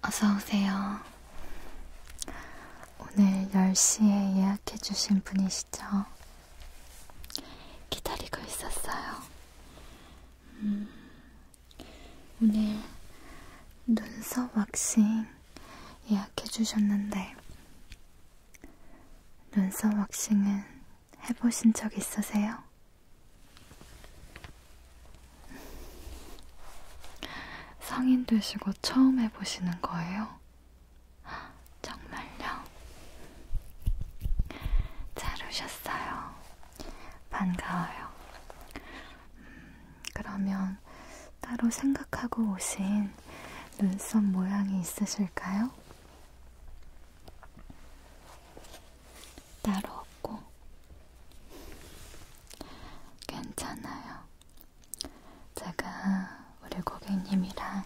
어서오세요. 오늘 10시에 예약해주신 분이시죠? 기다리고 있었어요. 음, 오늘 눈썹 왁싱 예약해주셨는데, 눈썹 왁싱은 해보신 적 있으세요? 성인 되시고 처음 해보시는 거예요? 정말요? 잘 오셨어요. 반가워요. 음, 그러면 따로 생각하고 오신 눈썹 모양이 있으실까요? 따로 없고 괜찮아요. 제가 우리 고객님이랑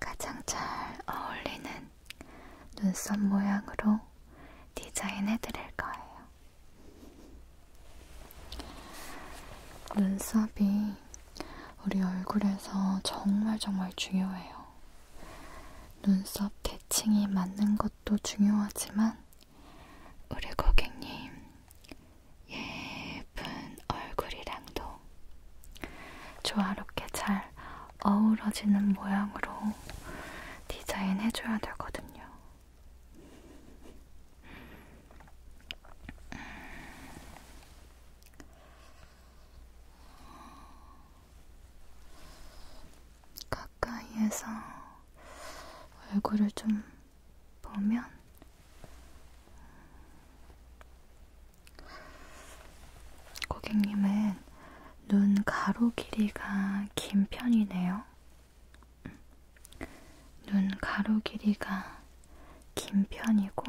가장 잘 어울리는 눈썹 모양으로 디자인해 드릴 거예요. 눈썹이 우리 얼굴에서 정말 정말 중요해요. 눈썹 대칭이 맞는 것도 중요하지만 우리 고객님 예쁜 얼굴이랑도 조화롭게 잘 어우러지는 모양으로 디자인해줘야 되거든요. 가까이에서 얼굴을 좀 보면 고객님은 눈 가로 길이가 긴 편이네요. 눈 가로 길이가 긴 편이고,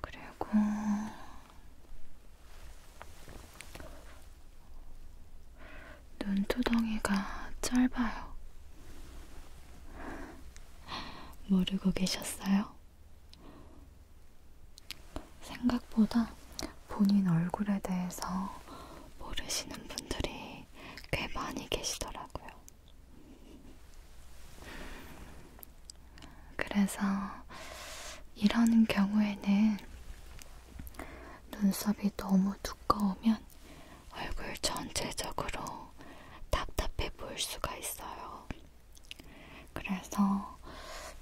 그리고 눈두덩이가 짧아요. 모르고 계셨어요? 생각보다 본인 얼굴에 대해서 모르시는 분들이 꽤 많이 계시더라고요. 그래서 이런 경우에는 눈썹이 너무 두꺼우면 얼굴 전체적으로 답답해 보일 수가 있어요. 그래서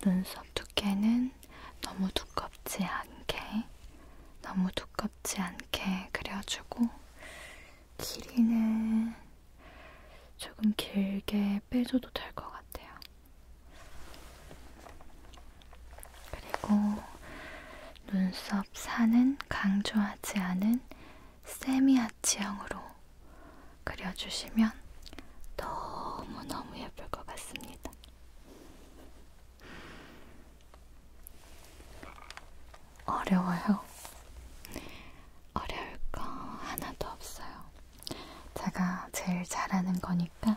눈썹 두께는 너무 두껍지 않게, 너무 두껍지 않게 그려주고, 길이는 조금 길게 빼줘도 될 것 같아요. 그리고 눈썹 산은 강조하지 않은 세미아치형으로 그려주시면 너무너무 예쁠 것 같습니다. 어려워요. 어려울 거 하나도 없어요. 제가 제일 잘하는 거니까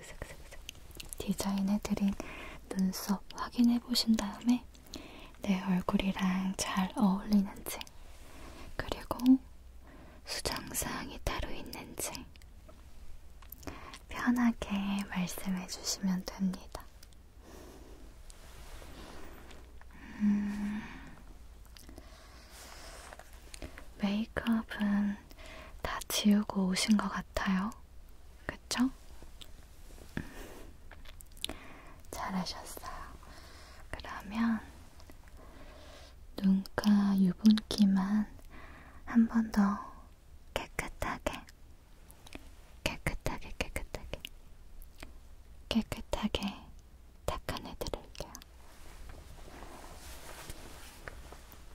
슥슥슥슥 디자인해드린 눈썹 확인해보신 다음에 내 얼굴이랑 잘 어울리는지 그리고 수정사항이 따로 있는지 편하게 말씀해주시면 됩니다. 음, 메이크업은 다 지우고 오신 것 같아요. 그쵸? 음, 잘하셨어요. 그러면 눈가 유분기만 한 번 더 깨끗하게, 깨끗하게, 깨끗하게, 깨끗하게 닦아내드릴게요.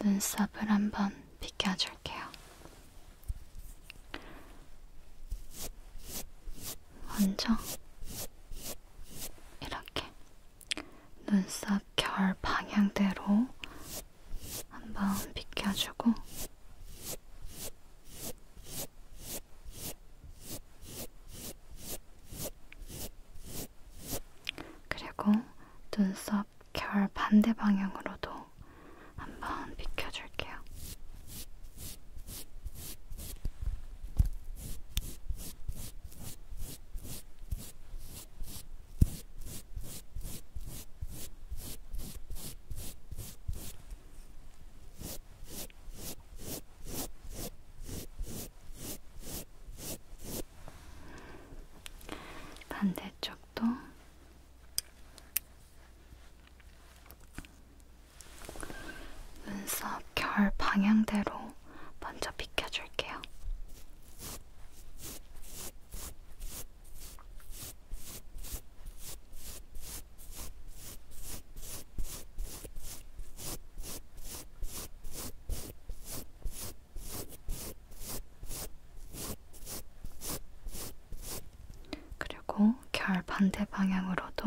눈썹을 한번 비껴줄게요. 먼저 이렇게 눈썹 결 방향대로 한번 비껴주고 그리고 눈썹 결 반대 방향으로도 한번 비켜줄게요. 반대쪽도 눈썹 결 방향대로 먼저 비켜줄게요. 그리고 결 반대 방향으로도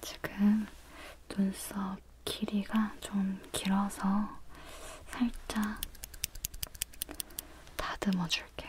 지금 눈썹 길이가 좀 길어서 살짝 다듬어 줄게요.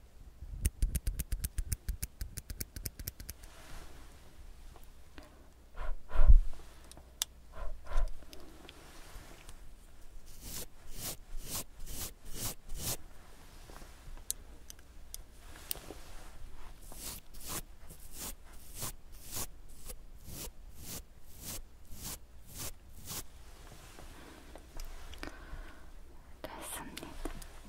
됐습니다.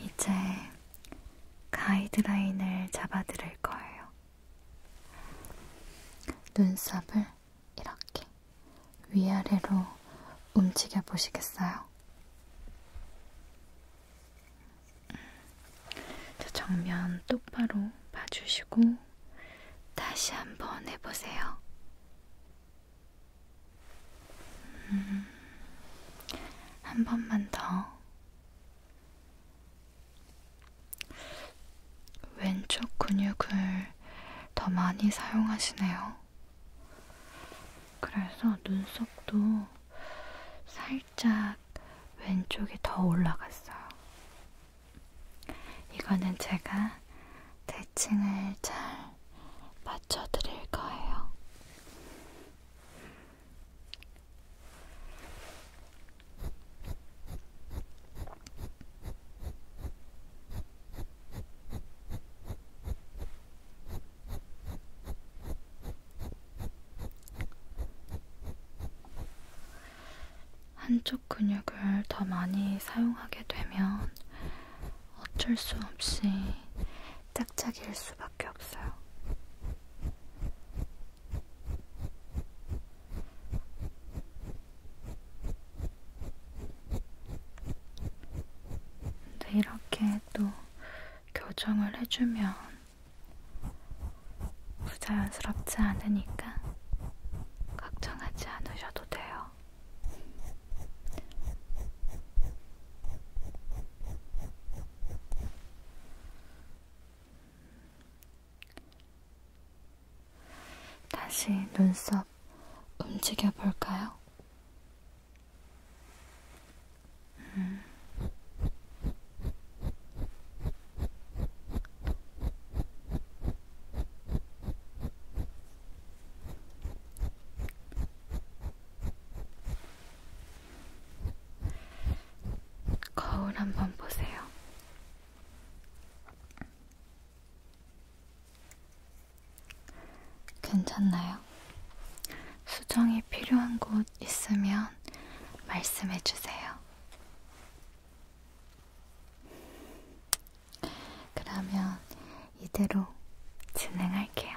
이제 가이드라인을 잡아드릴 거예요. 눈썹을 이렇게 위아래로 움직여 보시겠어요? 음, 저 정면 똑바로 봐주시고 다시 한번 해보세요. 음, 한 번만 더. 왼쪽 근육을 더 많이 사용하시네요. 그래서 눈썹도 살짝 왼쪽이 더 올라갔어요. 이거는 제가 대칭을 잘 맞춰드릴 거예요. 한쪽 근육을 더 많이 사용하게 되면 어쩔 수 없이 짝짝일 수밖에 없어요. 근데 이렇게 또 교정을 해주면 부자연스럽지 않으니까 걱정하지 않으셔도 돼요. 다시 눈썹 움직여 볼까요? 음. 거울 한번 보세요. 괜찮나요? 수정이 필요한 곳 있으면 말씀해 주세요. 그러면 이대로 진행할게요.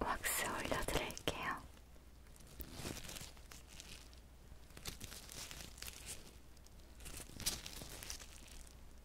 왁스 올려드릴게요.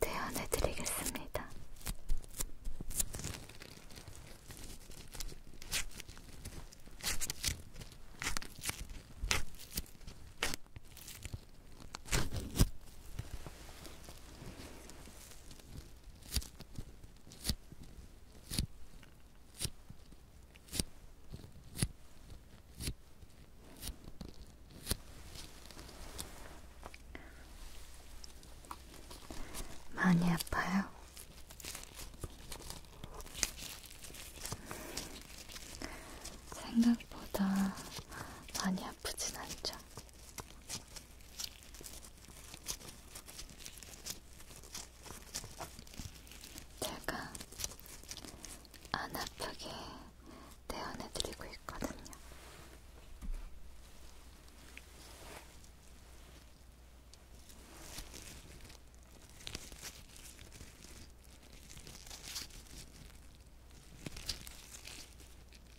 대안해 드리겠습니다. 많이 아파요. 생각보다 많이 아프진 않죠. 제가 안 아프게 대원해드리고 있거든요.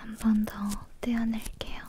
한번더 떼어낼게요.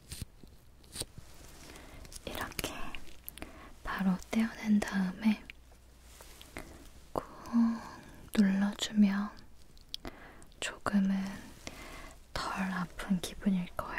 이렇게 바로 떼어낸 다음에 꾹 눌러주면 조금은 덜 아픈 기분일 거예요.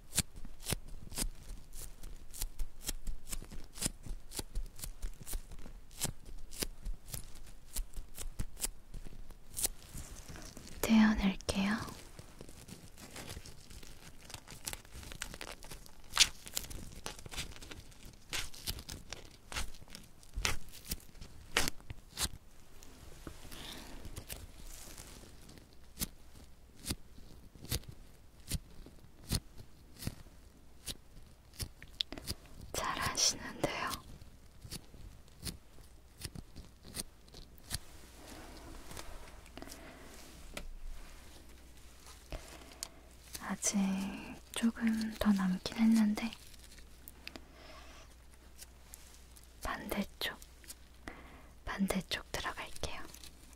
떼어낼게요. 잘 하시는데요. 아직 조금 더 남긴 했는데, 반대쪽, 반대쪽 들어갈게요.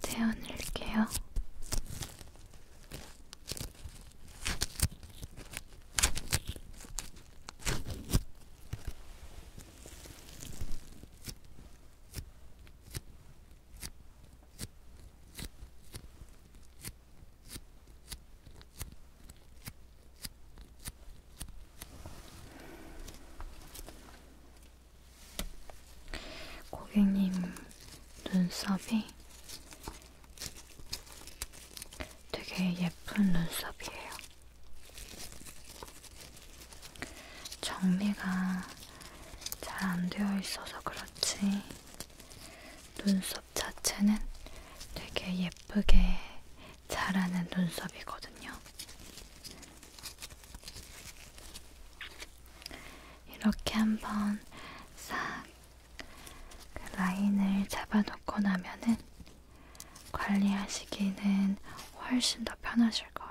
재워낼게요. 고객님 눈썹이 되게 예쁜 눈썹이에요. 정리가 잘 안 되어 있어서 그렇지 눈썹 자체는 되게 예쁘게 자라는 눈썹이거든요. 이렇게 한번 싹그 라인을 잡아놓고 나면은 관리하시기는 훨씬 더 편하실 거예요.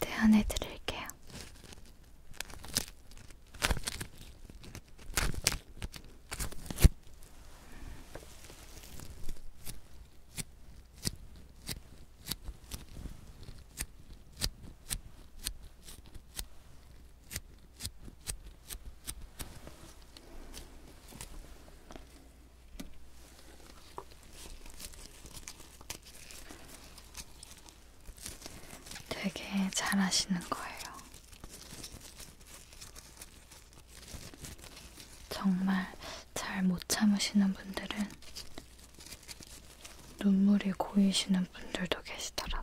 대안해 드릴게요. 되게 잘하시는 거예요. 정말 잘 못 참으시는 분들은 눈물이 고이시는 분들도 계시더라고요.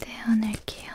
떼어낼게요.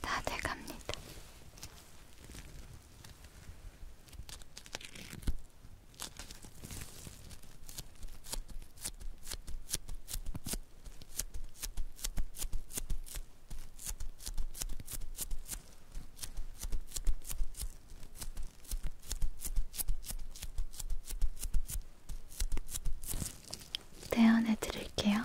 다 돼갑니다. 대안해 드릴게요.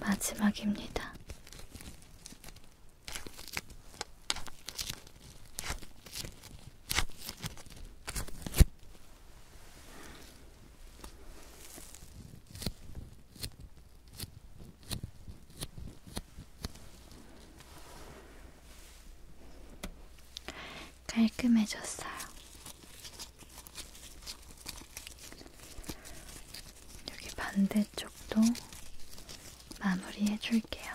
마지막입니다. 깔끔해졌어요. 여기 반대쪽도 마무리 해줄게요.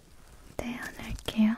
떼어낼게요. 네,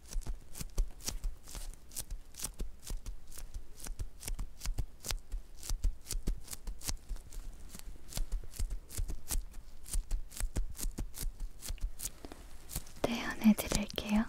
떼어내 드릴게요.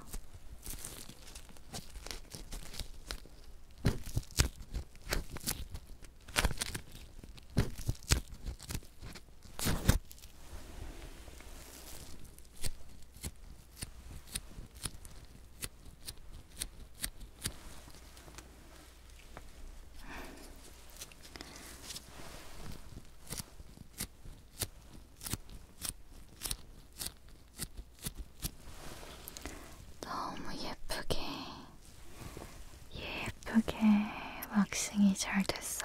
너무 예쁘게, 예쁘게 왁싱이 잘 됐어요.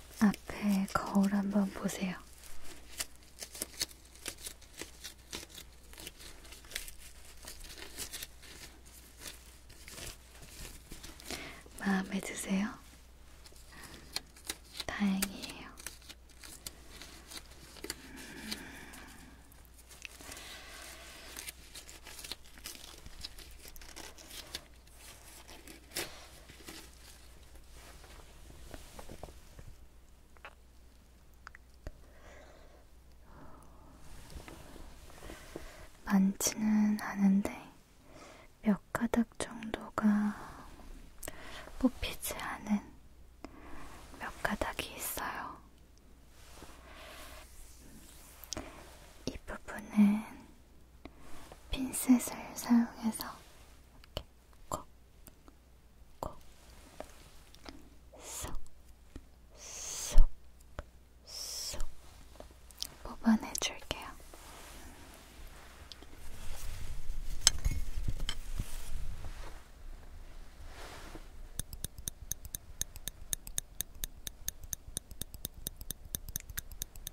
앞에 거울 한번 보세요. 마음에 드세요? 다행이에요. 많지는 않은데 몇 가닥 정도가 뽑히지 않은 몇 가닥이 있어요. 이 부분은 핀셋을 사용해서 이렇게 콕, 콕, 쏙, 쏙, 쏙 뽑아내줄게요.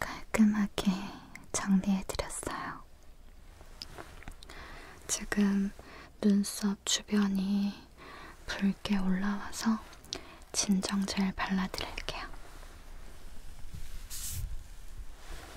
깔끔하게 정리해드렸어요. 지금 눈썹 주변이 붉게 올라와서 진정젤 발라드릴게요.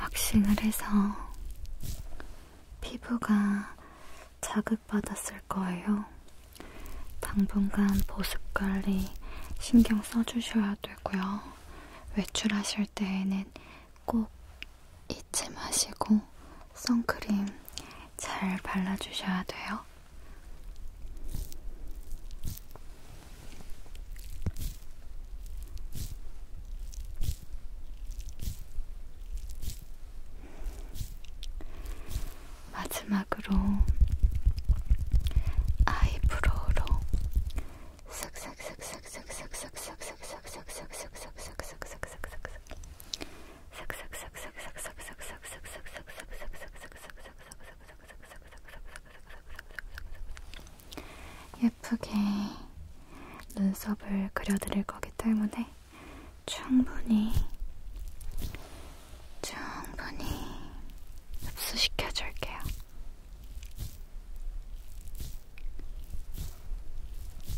왁싱을 해서 피부가 자극받았을 거예요. 당분간 보습 관리 신경 써주셔야 되고요. 외출하실 때에는 꼭 잊지 마시고 선크림 잘 발라주셔야 돼요. 마지막으로 아이브로우로 슥슥슥슥 예쁘게 눈썹을 그려드릴 거기 때문에 충분히 충분히 흡수시켜줄게요.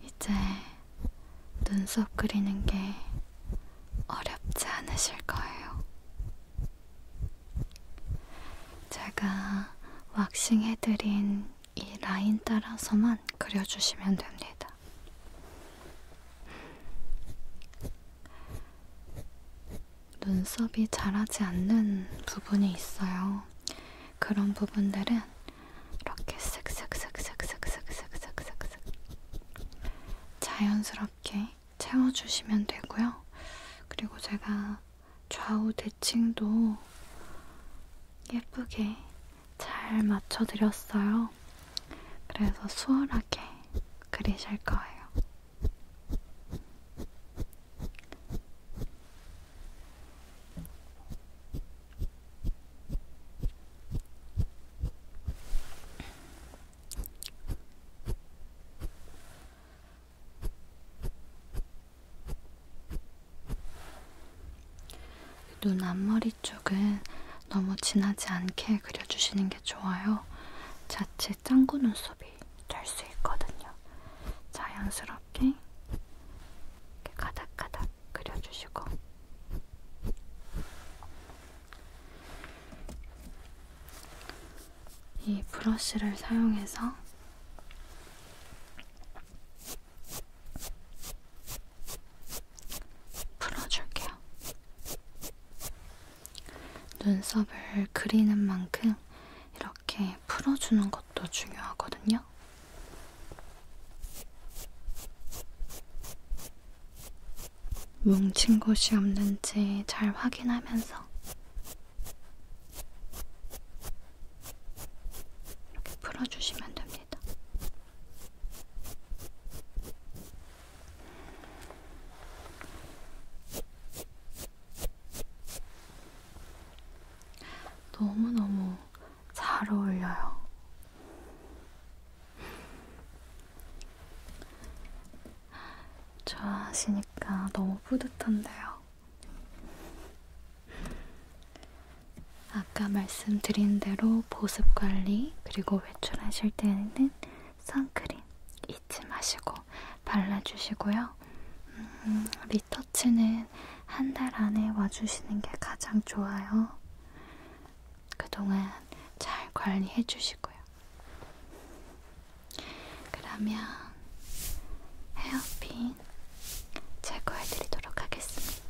이제 눈썹 그리는 게 어렵지 않으실 거예요. 제가 왁싱 해드린 이 라인 따라서만 그려주시면 됩니다. 눈썹이 자라지 않는 부분이 있어요. 그런 부분들은 이렇게 슥슥슥슥슥슥슥슥슥슥 자연스럽게 채워주시면 되고요. 그리고 제가 좌우 대칭도 예쁘게 잘 맞춰드렸어요. 그래서 수월하게 그리실 거예요. 눈 앞머리 쪽은 너무 진하지 않게 그려주시는 게 좋아요. 자칫 짱구 눈썹이 작업이 될수 있거든요. 자연스럽게 이렇게 가닥가닥 그려주시고 이 브러쉬를 사용해서 풀어줄게요. 눈썹을 그리는 만큼 이렇게 풀어주는 것도 중요하거든요. 뭉친 곳이 없는지 잘 확인하면서 이렇게 풀어주시면 됩니다. 너무너무 잘 어울려요. 좋아하시니까 너무 뿌듯한데요. 아까 말씀드린 대로 보습 관리 그리고 외출하실 때는 선크림 잊지 마시고 발라주시고요. 음, 리터치는 한 달 안에 와주시는 게 가장 좋아요. 그동안 잘 관리해 주시고요. 그러면 헤어핀 제거해 드리도록 하겠습니다.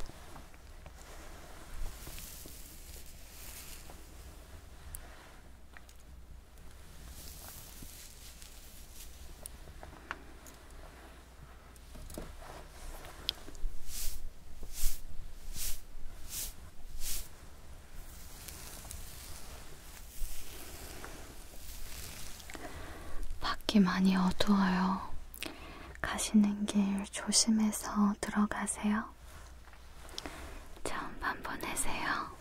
밖이 많이 어두워요. 가시는 길 조심해서 들어가세요. 좋은 밤 보내세요.